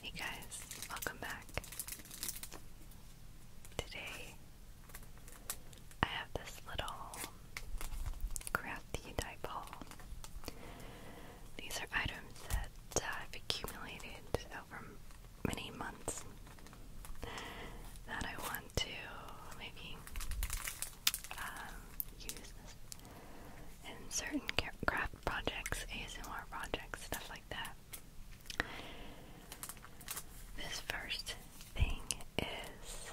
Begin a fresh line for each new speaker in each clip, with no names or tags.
Hey guys, welcome back. Today I have this little crafty type These are items that I've accumulated over many months that I want to maybe um, use in certain craft projects, ASMR projects, stuff like that. This first thing is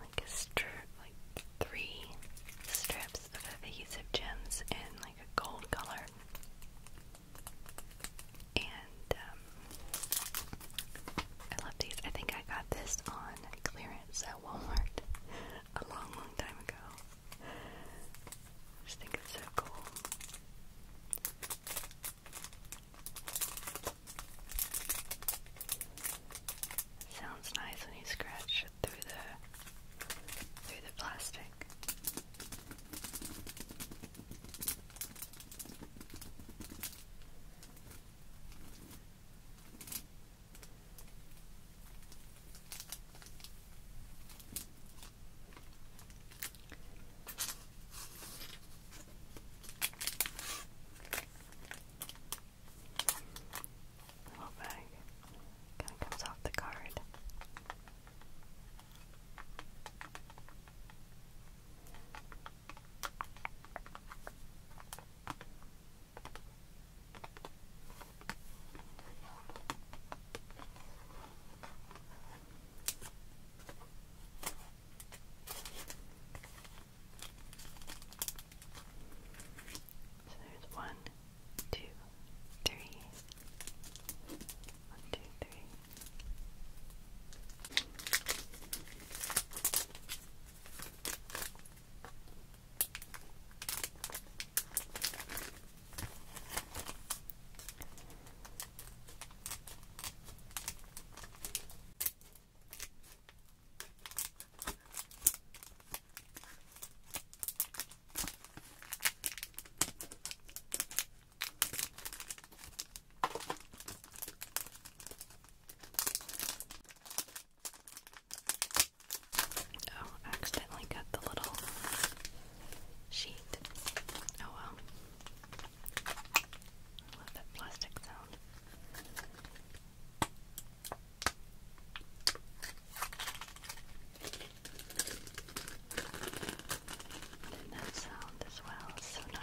like a strip, like three strips of adhesive gems in like a gold color. And um, I love these. I think I got this on clearance at Walmart a long, long time ago. just think it's so cool. sounds nice when you scratch it through the through the plastic. The whole bag kind of comes off the card. So there's one, two, three. One, two, three. Oh, I accidentally cut the little sheet. Oh well. I that plastic sound. And that sound as well is so nice.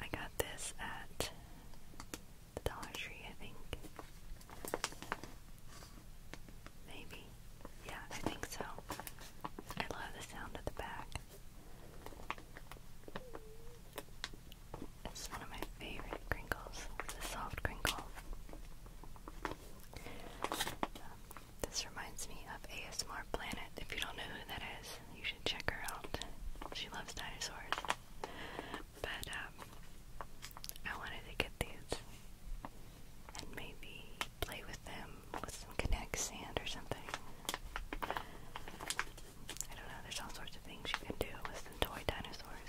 I got this at the Dollar Tree, I think. Maybe. Yeah, I think so. I love the sound at the back. It's one of my favorite crinkles. It's soft crinkle this reminds me of ASMR Planet. If you don't know who that is, you should check her out. She loves dinosaurs. But um, I wanted to get these and maybe play with them with some Connect sand or something. I don't know. There's all sorts of things you can do with some toy dinosaurs.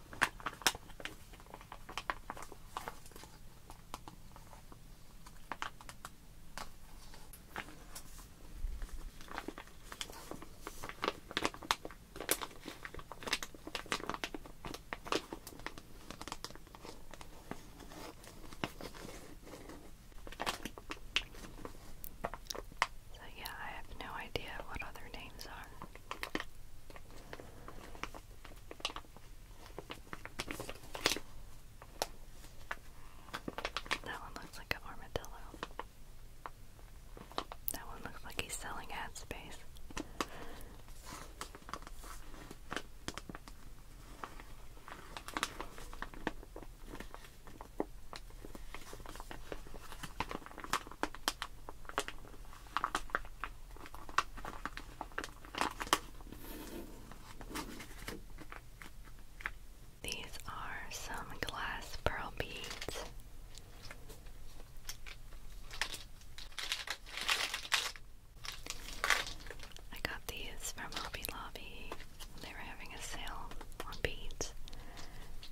So, yeah, I have no idea what other names are. That one looks like an armadillo. That one looks like he's selling ad space. These are some glass pearl beads. I got these from Hobby Lobby. They were having a sale on beads,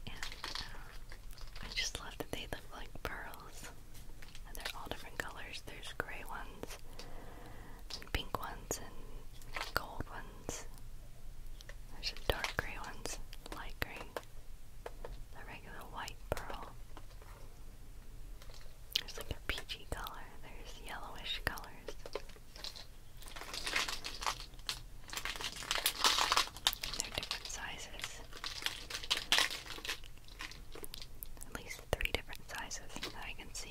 and uh, I just love that they look like pearls they're all different colors. There's gray ones, and pink ones, and gold ones. There's some dark gray ones, light gray, the regular white pearl. There's like a peachy color, there's yellowish colors. They're different sizes at least three different sizes that I can see.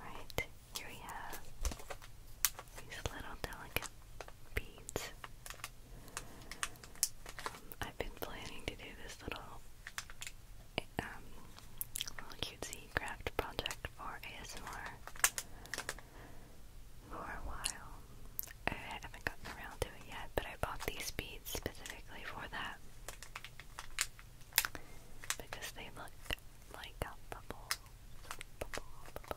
Right, here we have these little delicate beads. Um, I've been planning to do this little um, little cutesy craft project for ASMR for a while. I haven't gotten around to it yet, but I bought these beads specifically for that because they look like a bubble. bubble, bubble.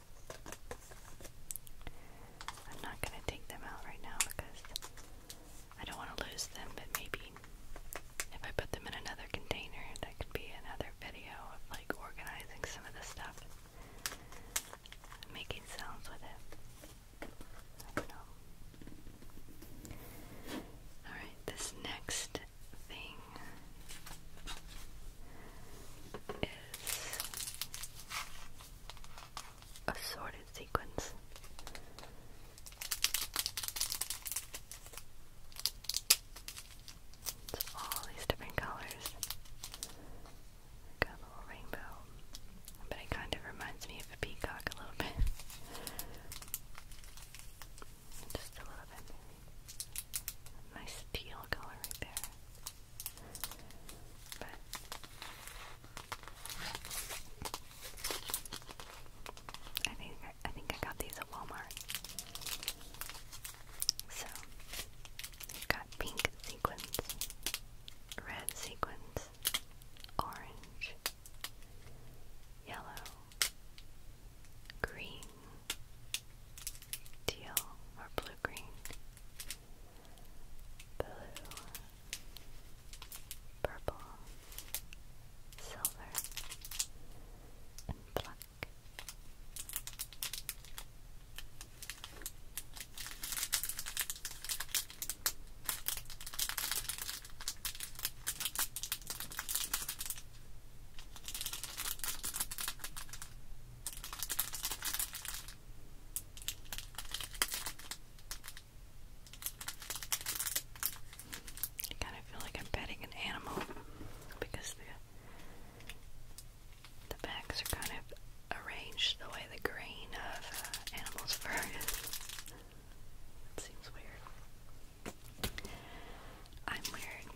I'm not going to take them out right now because I don't want to lose them, but maybe if I put them in another container, that could be another video of like organizing some of the stuff making sounds with it. Alright, this next thing is assorted sequence. It's all these different colors. Got a little rainbow. But it kind of reminds me of a peacock a little bit. Just a little bit. Nice teal color right there. But I think I think I got these at Walmart. So you've got pink sequins, red sequins, orange, yellow, green, teal or blue green, blue, purple, silver, and black. I kind of feel like I'm petting an animal because the the backs are kind of arranged the way the grain of uh, animals' fur is. seems weird. I'm weird.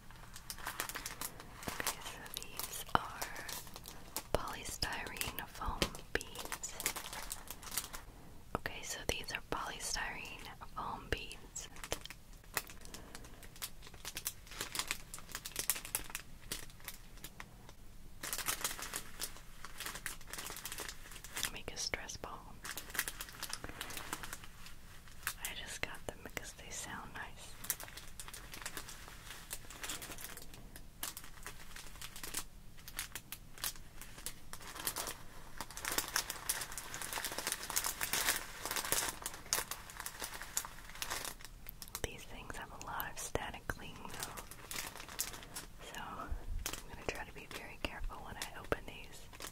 Okay, so these are polystyrene foam beads. Okay, so these are polystyrene foam beads. Make a stress ball. I just got them they sound nice. These things have a lot of static cling though, so I'm going to try to be very careful when I open these.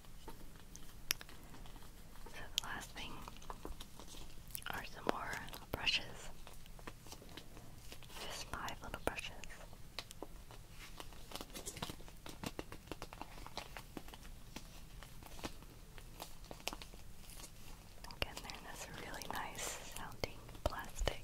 So the last thing are some more brushes. Just five little brushes. Again, they're in this really nice sounding plastic.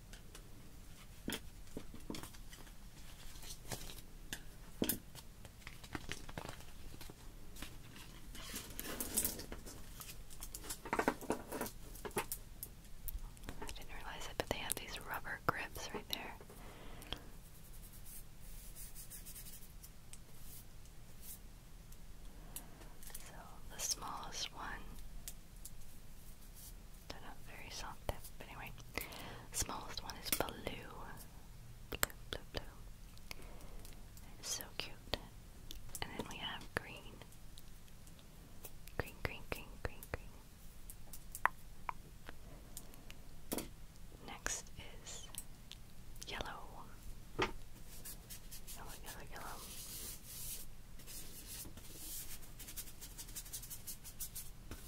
I didn't realize it, but they have these rubber grips right there. So the smallest one they're not very soft but anyway. Smallest one is blue. Blue, blue, blue. so cute. And then we have green. Green, green, green, green, green. Next is yellow. Yellow, yellow, yellow.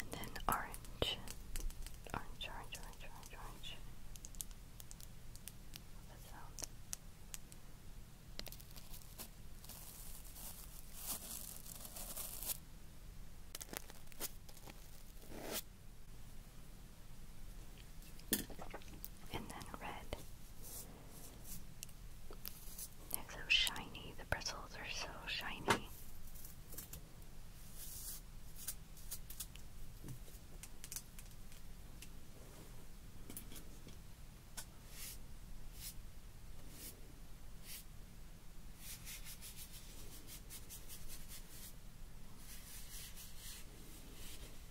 And then orange. Orange, orange, orange, orange, and then red. They're so shiny, the bristles are so shiny.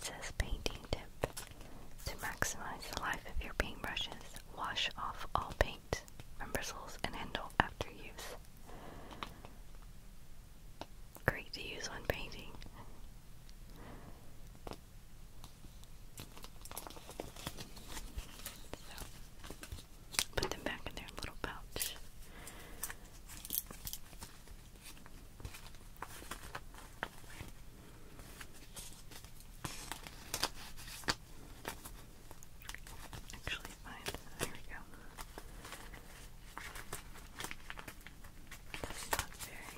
Says painting tip. To maximize the life of your paintbrushes, wash off all paint from bristles and handle after use. Great to use when painting. Put them back in their little pouch. Actually, fine. There we go. That's not very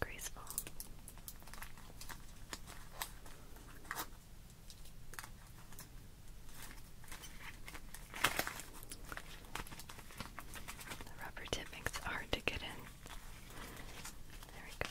graceful. The rubber tip makes it hard to get in. There we go.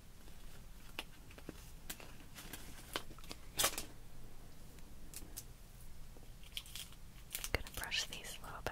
gonna brush these a little bit.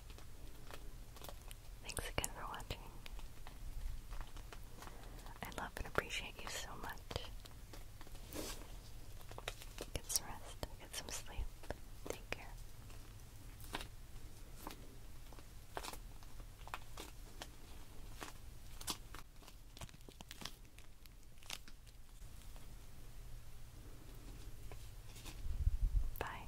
Thanks again for watching. I love and appreciate you so much. Get some rest, get some sleep. Take care. Bye.